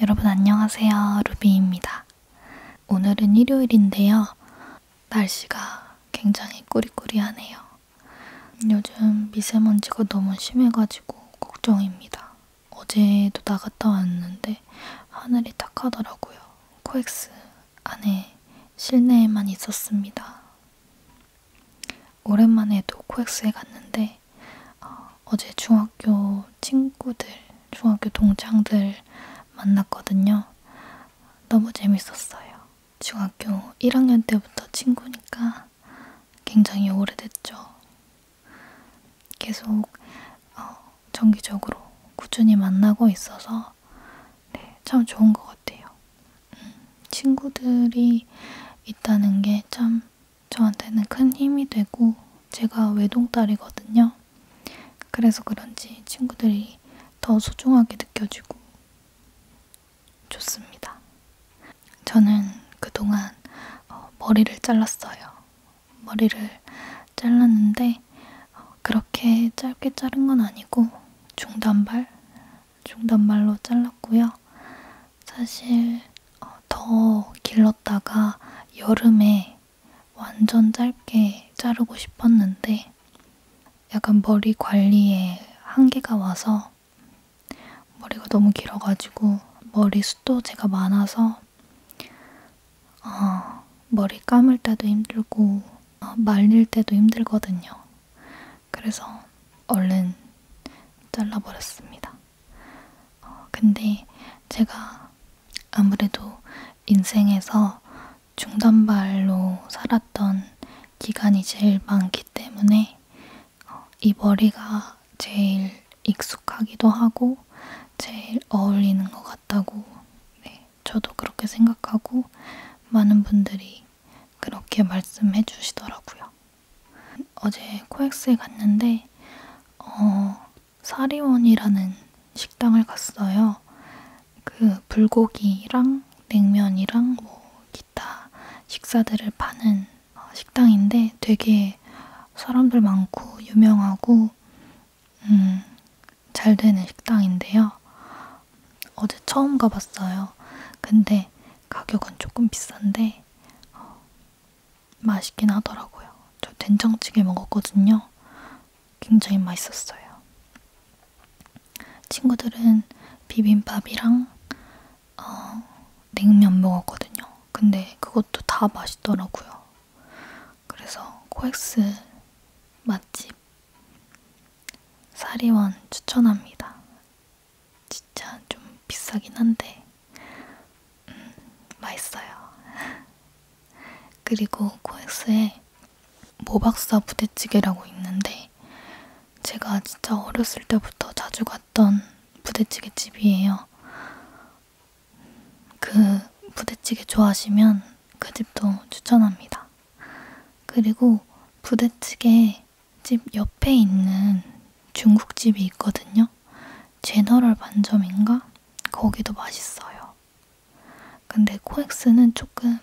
여러분 안녕하세요. 루비입니다. 오늘은 일요일인데요. 날씨가 굉장히 꾸리꾸리하네요. 요즘 미세먼지가 너무 심해가지고 걱정입니다. 어제도 나갔다 왔는데 하늘이 탁하더라고요. 코엑스 안에 실내에만 있었습니다. 오랜만에도 코엑스에 갔는데 했는데 어, 어제 중학교 친구들, 중학교 동창들 만났거든요. 너무 재밌었어요. 중학교 1학년 때부터 친구니까 굉장히 오래됐죠. 계속 어, 정기적으로 꾸준히 만나고 있어서 네, 참 좋은 것 같아요. 음, 친구들이 있다는 게참 저한테는 큰 힘이 되고 제가 외동딸이거든요. 그래서 그런지 친구들이 더 소중하게 느껴지고 좋습니다. 저는 그동안 어, 머리를 잘랐어요. 머리를 잘랐는데 어, 그렇게 짧게 자른 건 아니고 중단발, 중단발로 잘랐고요. 사실 어, 더 길렀다가 여름에 완전 짧게 자르고 싶었는데 약간 머리 관리에 한계가 와서 머리가 너무 길어가지고 머리 숱도제가 많아서 어, 머리 감을 때도 힘들고 어, 말릴 때도 힘들거든요. 그래서 얼른 잘라버렸습니다. 어, 근데 제가 아무래도 인생에서 중단발로 살았던 기간이 제일 많기 때문에 어, 이 머리가 제일 익숙하기도 하고 제일 어울리는 것 같다고 네, 저도 그렇게 생각하고 많은 분들이 그렇게 말씀해 주시더라고요. 어제 코엑스에 갔는데 어, 사리원이라는 식당을 갔어요. 그 불고기랑 냉면이랑 뭐 기타 식사들을 파는 어, 식당인데 되게 사람들 많고 유명하고 음, 잘 되는 식당인데요. 어제 처음 가봤어요. 근데 가격은 조금 비싼데 어, 맛있긴 하더라고요. 저 된장찌개 먹었거든요. 굉장히 맛있었어요. 친구들은 비빔밥이랑 어, 냉면 먹었거든요. 근데 그것도 다 맛있더라고요. 그래서 코엑스 맛집 사리원 추천합니다. 진짜 좀 비싸긴 한데 음, 맛있어요. 그리고 코엑스에 모박사 부대찌개라고 있는데 제가 진짜 어렸을 때부터 자주 갔던 부대찌개 집이에요. 그 부대찌개 좋아하시면 그 집도 추천합니다. 그리고 부대찌개 집 옆에 있는 중국집이 있거든요. 제너럴 반점인가? 거기도 맛있어요. 근데 코엑스는 조금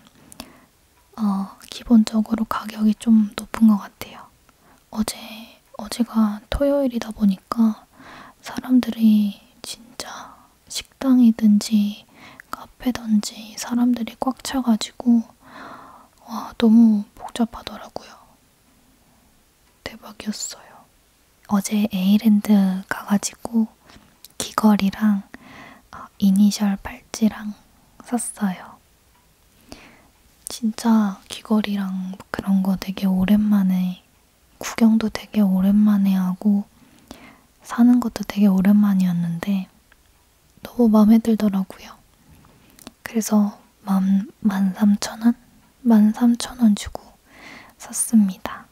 어, 기본적으로 가격이 좀 높은 것 같아요. 어제 어제가 토요일이다 보니까 사람들이 진짜 식당이든지 카페든지 사람들이 꽉 차가지고 와 너무 복잡하더라고요. 대박이었어요. 어제 에이랜드 가가지고 귀걸이랑 어, 이니셜 팔찌랑 샀어요. 진짜 귀걸이랑 그런 거 되게 오랜만에 구경도 되게 오랜만에 하고 사는 것도 되게 오랜만이었는데 너무 마음에 들더라고요. 그래서 만, 13,000원? 13,000원 주고 샀습니다.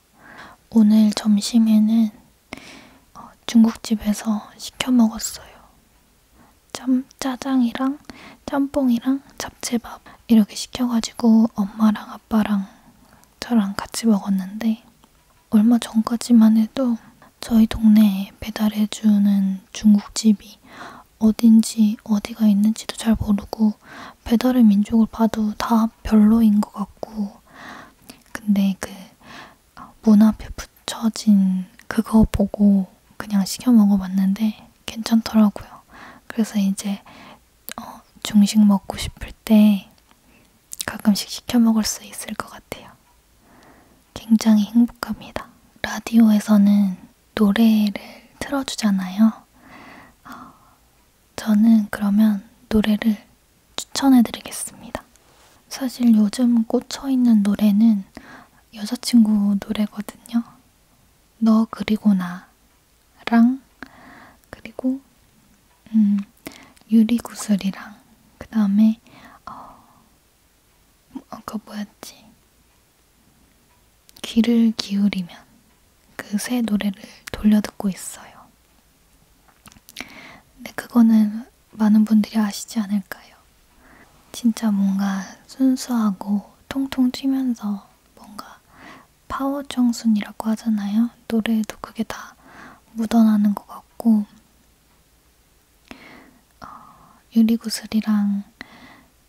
오늘 점심에는 어, 중국집에서 시켜 먹었어요. 짬, 짜장이랑 짬뽕이랑 잡채밥 이렇게 시켜가지고 엄마랑 아빠랑 저랑 같이 먹었는데 얼마 전까지만 해도 저희 동네에 배달해주는 중국집이 어딘지 어디가 있는지도 잘 모르고 배달의 민족을 봐도 다 별로인 것 같고 근데 그 문 앞에 붙여진 그거 보고 그냥 시켜 먹어봤는데 괜찮더라고요. 그래서 이제 어, 중식 먹고 싶을 때 가끔씩 시켜 먹을 수 있을 것 같아요. 굉장히 행복합니다. 라디오에서는 노래를 틀어주잖아요. 어, 저는 그러면 노래를 추천해드리겠습니다. 사실 요즘 꽂혀있는 노래는 여자친구 노래거든요. 너 그리고 나랑 그리고 음, 유리구슬이랑 그 다음에 어, 뭐, 그 뭐였지? 귀를 기울이면 그 새 노래를 돌려 듣고 있어요. 근데 그거는 많은 분들이 아시지 않을까요? 진짜 뭔가 순수하고 통통 튀면서 뭔가 파워 청순이라고 하잖아요. 노래에도 그게 다 묻어나는 것 같고 어, 유리구슬이랑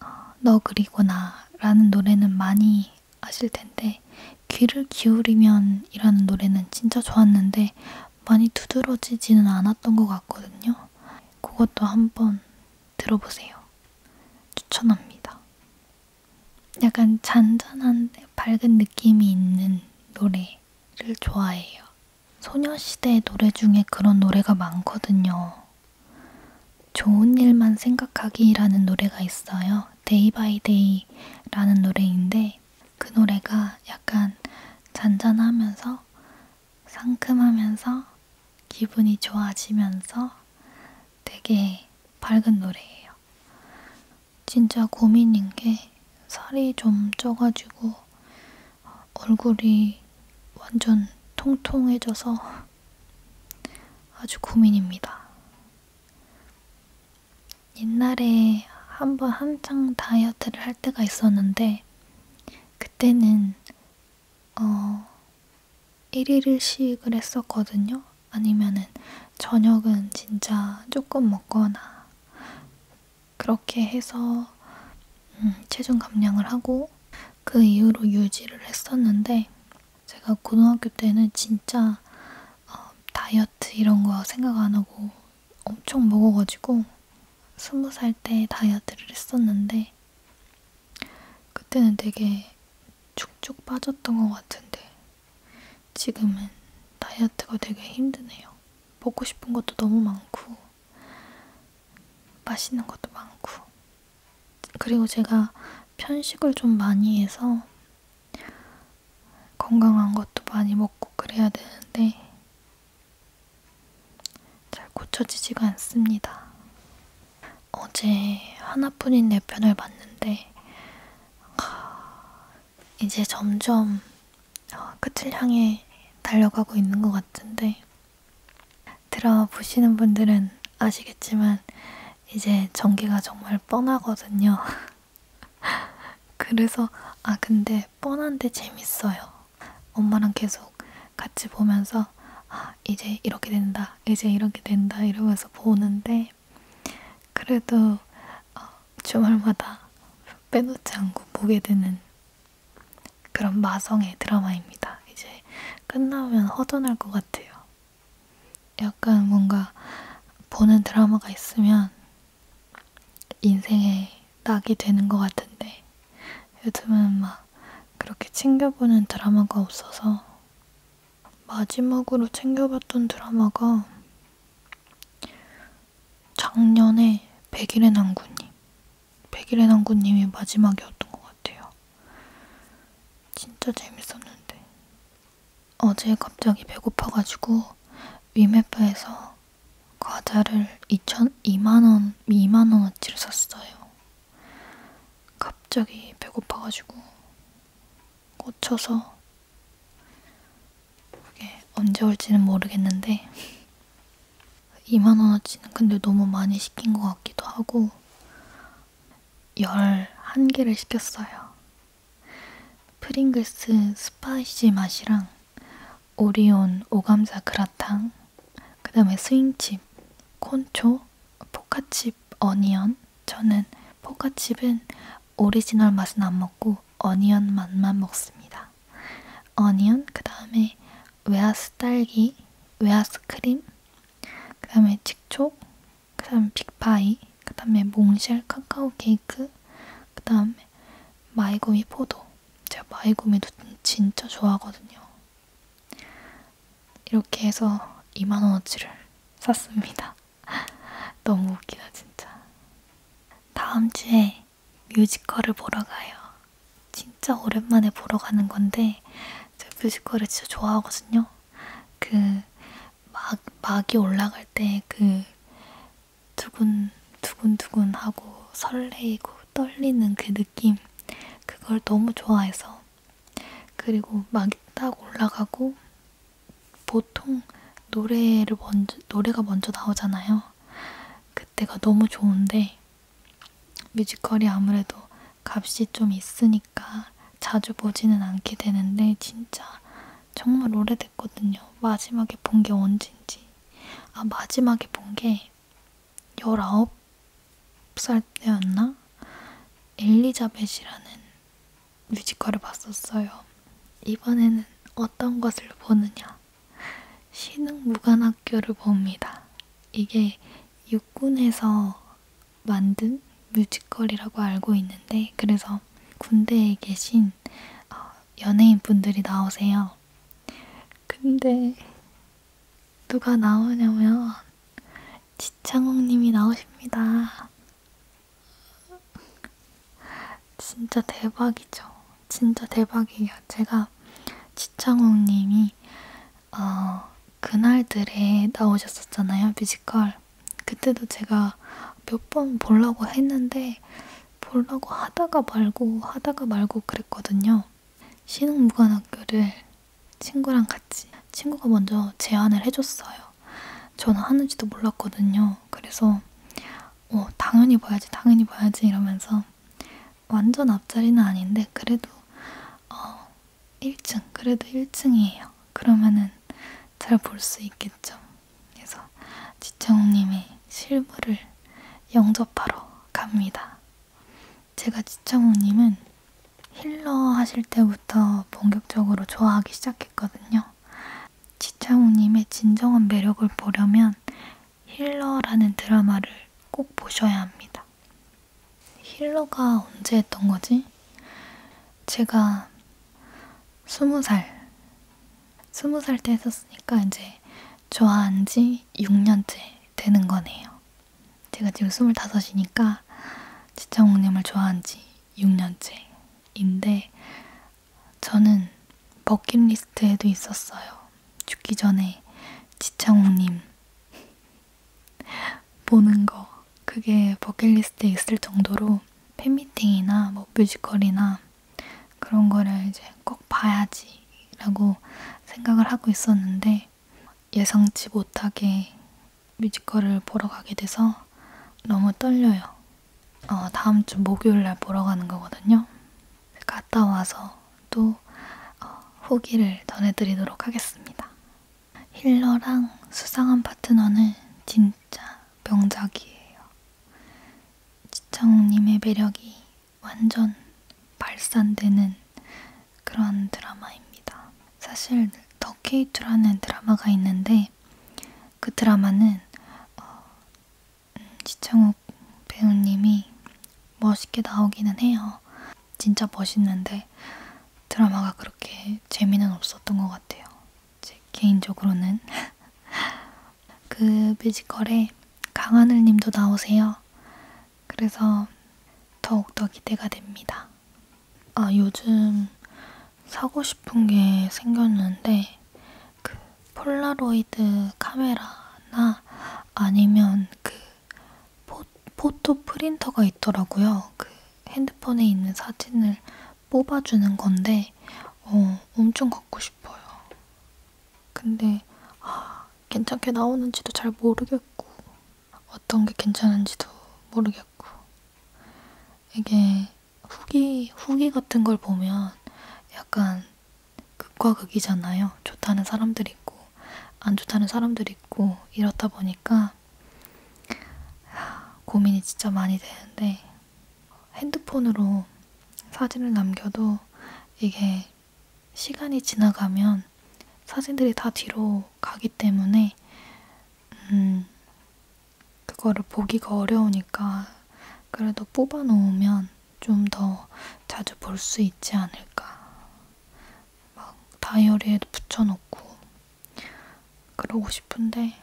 어, 너 그리구나 라는 노래는 많이 아실 텐데 귀를 기울이면 이라는 노래는 진짜 좋았는데 많이 두드러지지는 않았던 것 같거든요. 그것도 한번 들어보세요. 추천합니다. 약간 잔잔한데 밝은 느낌이 있는 노래를 좋아해요. 소녀시대 노래 중에 그런 노래가 많거든요. 좋은 일만 생각하기라는 노래가 있어요. 데이 바이 데이라는 노래인데 그 노래가 약간 잔잔하면서 상큼하면서 기분이 좋아지면서 되게 밝은 노래예요. 진짜 고민인 게 살이 좀 쪄가지고 얼굴이 완전 통통해져서 아주 고민입니다. 옛날에 한번 한창 다이어트를 할 때가 있었는데 그때는 어 1일일식을 했었거든요. 아니면은 저녁은 진짜 조금 먹거나 그렇게 해서 음, 체중 감량을 하고 그 이후로 유지를 했었는데 제가 고등학교 때는 진짜 어, 다이어트 이런 거 생각 안 하고 엄청 먹어가지고 스무 살 때 다이어트를 했었는데 그때는 되게 쭉쭉 빠졌던 것 같은데 지금은 다이어트가 되게 힘드네요. 먹고 싶은 것도 너무 많고 맛있는 것도 많고 그리고 제가 편식을 좀 많이 해서 건강한 것도 많이 먹고 그래야 되는데 잘 고쳐지지가 않습니다. 어제 하나뿐인 내 편을 봤는데 이제 점점 어, 끝을 향해 달려가고 있는 것 같은데 들어보시는 분들은 아시겠지만 이제 전기가 정말 뻔하거든요. 그래서 아 근데 뻔한데 재밌어요. 엄마랑 계속 같이 보면서 아 이제 이렇게 된다, 이제 이렇게 된다 이러면서 보는데 그래도 어, 주말마다 빼놓지 않고 보게 되는 그런 마성의 드라마입니다. 이제 끝나면 허전할 것 같아요. 약간 뭔가 보는 드라마가 있으면 인생에 낙이 되는 것 같은데 요즘은 막 그렇게 챙겨보는 드라마가 없어서 마지막으로 챙겨봤던 드라마가 작년에 백일의 남구님, 백일의 남구님이 마지막이었던 것 같아요. 진짜 재밌었는데 어제 갑자기 배고파가지고 위메프에서 과자를 2천 2만 원 2만 원어치를 샀어요. 갑자기 배고파가지고 꽂혀서 그게 언제 올지는 모르겠는데 2만원어치는 근데 너무 많이 시킨 것 같기도 하고 11개를 시켰어요. 프링글스 스파이시 맛이랑 오리온 오감자 그라탕 그 다음에 스윙칩, 콘초, 포카칩, 어니언 저는 포카칩은 오리지널 맛은 안 먹고 어니언 맛만 먹습니다. 어니언, 그 다음에 외아스 딸기, 외아스 크림, 그 다음에 칡촉, 그 다음에 빅파이, 그 다음에 몽쉘 카카오 케이크, 그 다음에 마이구미 포도. 제가 마이구미도 진짜 좋아하거든요. 이렇게 해서 2만원어치를 샀습니다. 너무 웃기다, 진짜. 다음 주에 뮤지컬을 보러 가요. 진짜 오랜만에 보러 가는 건데 제가 뮤지컬을 진짜 좋아하거든요. 그 막, 막이 올라갈 때 그 두근 두근두근하고 설레이고 떨리는 그 느낌 그걸 너무 좋아해서 그리고 막이 딱 올라가고 보통 노래를 먼저 노래가 먼저 나오잖아요. 그때가 너무 좋은데 뮤지컬이 아무래도 값이 좀 있으니까 자주 보지는 않게 되는데 진짜 정말 오래됐거든요. 마지막에 본 게 언젠지. 아, 마지막에 본 게 19살 때였나? 엘리자벳이라는 뮤지컬을 봤었어요. 이번에는 어떤 것을 보느냐? 신흥 무관학교를 봅니다. 이게 육군에서 만든 뮤지컬이라고 알고 있는데 그래서 군대에 계신 어, 연예인 분들이 나오세요. 근데 누가 나오냐면 지창욱님이 나오십니다. 진짜 대박이죠. 진짜 대박이에요. 제가 지창욱님이 어, 그날들에 나오셨었잖아요 뮤지컬. 그때도 제가 몇 번 보려고 했는데 보려고 하다가 말고 하다가 말고 그랬거든요. 신흥무관학교를 친구랑 같이 친구가 먼저 제안을 해줬어요. 저는 하는지도 몰랐거든요. 그래서 어, 당연히 봐야지, 당연히 봐야지 이러면서 완전 앞자리는 아닌데 그래도 어, 1층, 그래도 1층이에요. 그러면은 잘 볼 수 있겠죠. 그래서 지청우님의 실물을 영접하러 갑니다. 제가 지청우님은 힐러 하실 때부터 본격적으로 좋아하기 시작했거든요. 지창우님의 진정한 매력을 보려면 힐러라는 드라마를 꼭 보셔야 합니다. 힐러가 언제 했던 거지? 제가 스무 살, 스무 살 때 했었으니까 이제 좋아한 지 6년째 되는 거네요. 제가 지금 25이니까 지창욱님을 좋아한 지 6년째인데 저는 버킷리스트에도 있었어요. 죽기 전에 지창욱님 보는 거 그게 버킷리스트에 있을 정도로 팬미팅이나 뭐 뮤지컬이나 그런 거를 이제 꼭 봐야지라고 생각을 하고 있었는데 예상치 못하게 뮤지컬을 보러 가게 돼서 너무 떨려요. 어, 다음 주 목요일 날 보러 가는 거거든요. 갔다 와서 또 어, 후기를 전해드리도록 하겠습니다. 힐러랑 수상한 파트너는 진짜 명작이에요. 지창욱님의 매력이 완전 발산되는 그런 드라마입니다. 사실 더 K2라는 드라마가 있는데 그 드라마는 어, 지창욱 배우님이 멋있게 나오기는 해요. 진짜 멋있는데 드라마가 그렇게 재미는 없었던 것 같아요. 제 개인적으로는 그 뮤지컬에 강하늘님도 나오세요. 그래서 더욱더 기대가 됩니다. 아 요즘 사고 싶은 게 생겼는데 그 폴라로이드 카메라나 아니면 그 포, 포토 프린터가 있더라고요. 그 핸드폰에 있는 사진을 뽑아주는 건데 어, 엄청 갖고 싶어요. 근데 아, 괜찮게 나오는지도 잘 모르겠고 어떤 게 괜찮은지도 모르겠고 이게 후기, 후기 같은 걸 보면 약간 극과 극이잖아요. 좋다는 사람들 있고, 안 좋다는 사람들 있고, 이렇다 보니까 고민이 진짜 많이 되는데, 핸드폰으로 사진을 남겨도 이게 시간이 지나가면 사진들이 다 뒤로 가기 때문에, 음, 그거를 보기가 어려우니까 그래도 뽑아 놓으면 좀 더 자주 볼 수 있지 않을까. 막 다이어리에도 붙여놓고 그러고 싶은데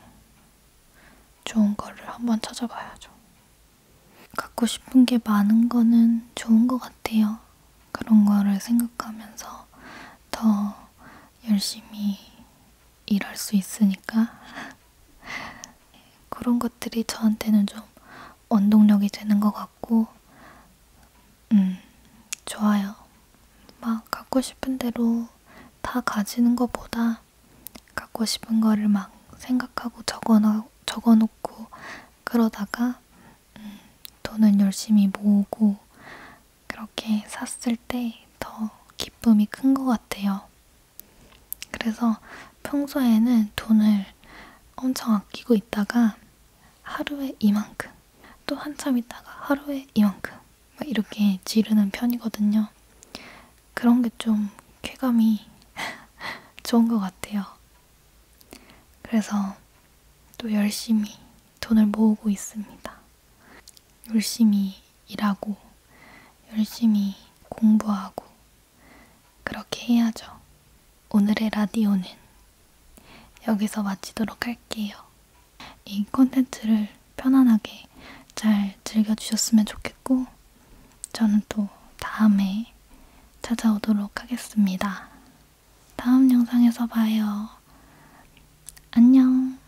좋은 거를 한번 찾아봐야죠. 갖고 싶은 게 많은 거는 좋은 것 같아요. 그런 거를 생각하면서 더 열심히 일할 수 있으니까 예, 그런 것들이 저한테는 좀 원동력이 되는 것 같고 음 좋아요. 막 갖고 싶은 대로 다 가지는 것보다 갖고 싶은 거를 막 생각하고 적어놓, 적어놓고 그러다가 음, 돈은 열심히 모으고 그렇게 샀을 때 더 기쁨이 큰 것 같아요. 그래서 평소에는 돈을 엄청 아끼고 있다가 하루에 이만큼, 또 한참 있다가 하루에 이만큼, 막 이렇게 지르는 편이거든요. 그런 게 좀 쾌감이 좋은 것 같아요. 그래서 또 열심히 돈을 모으고 있습니다. 열심히 일하고, 열심히 공부하고, 그렇게 해야죠. 오늘의 라디오는 여기서 마치도록 할게요. 이 콘텐츠를 편안하게 잘 즐겨주셨으면 좋겠고, 저는 또 다음에 찾아오도록 하겠습니다. 다음 영상에서 봐요. 안녕.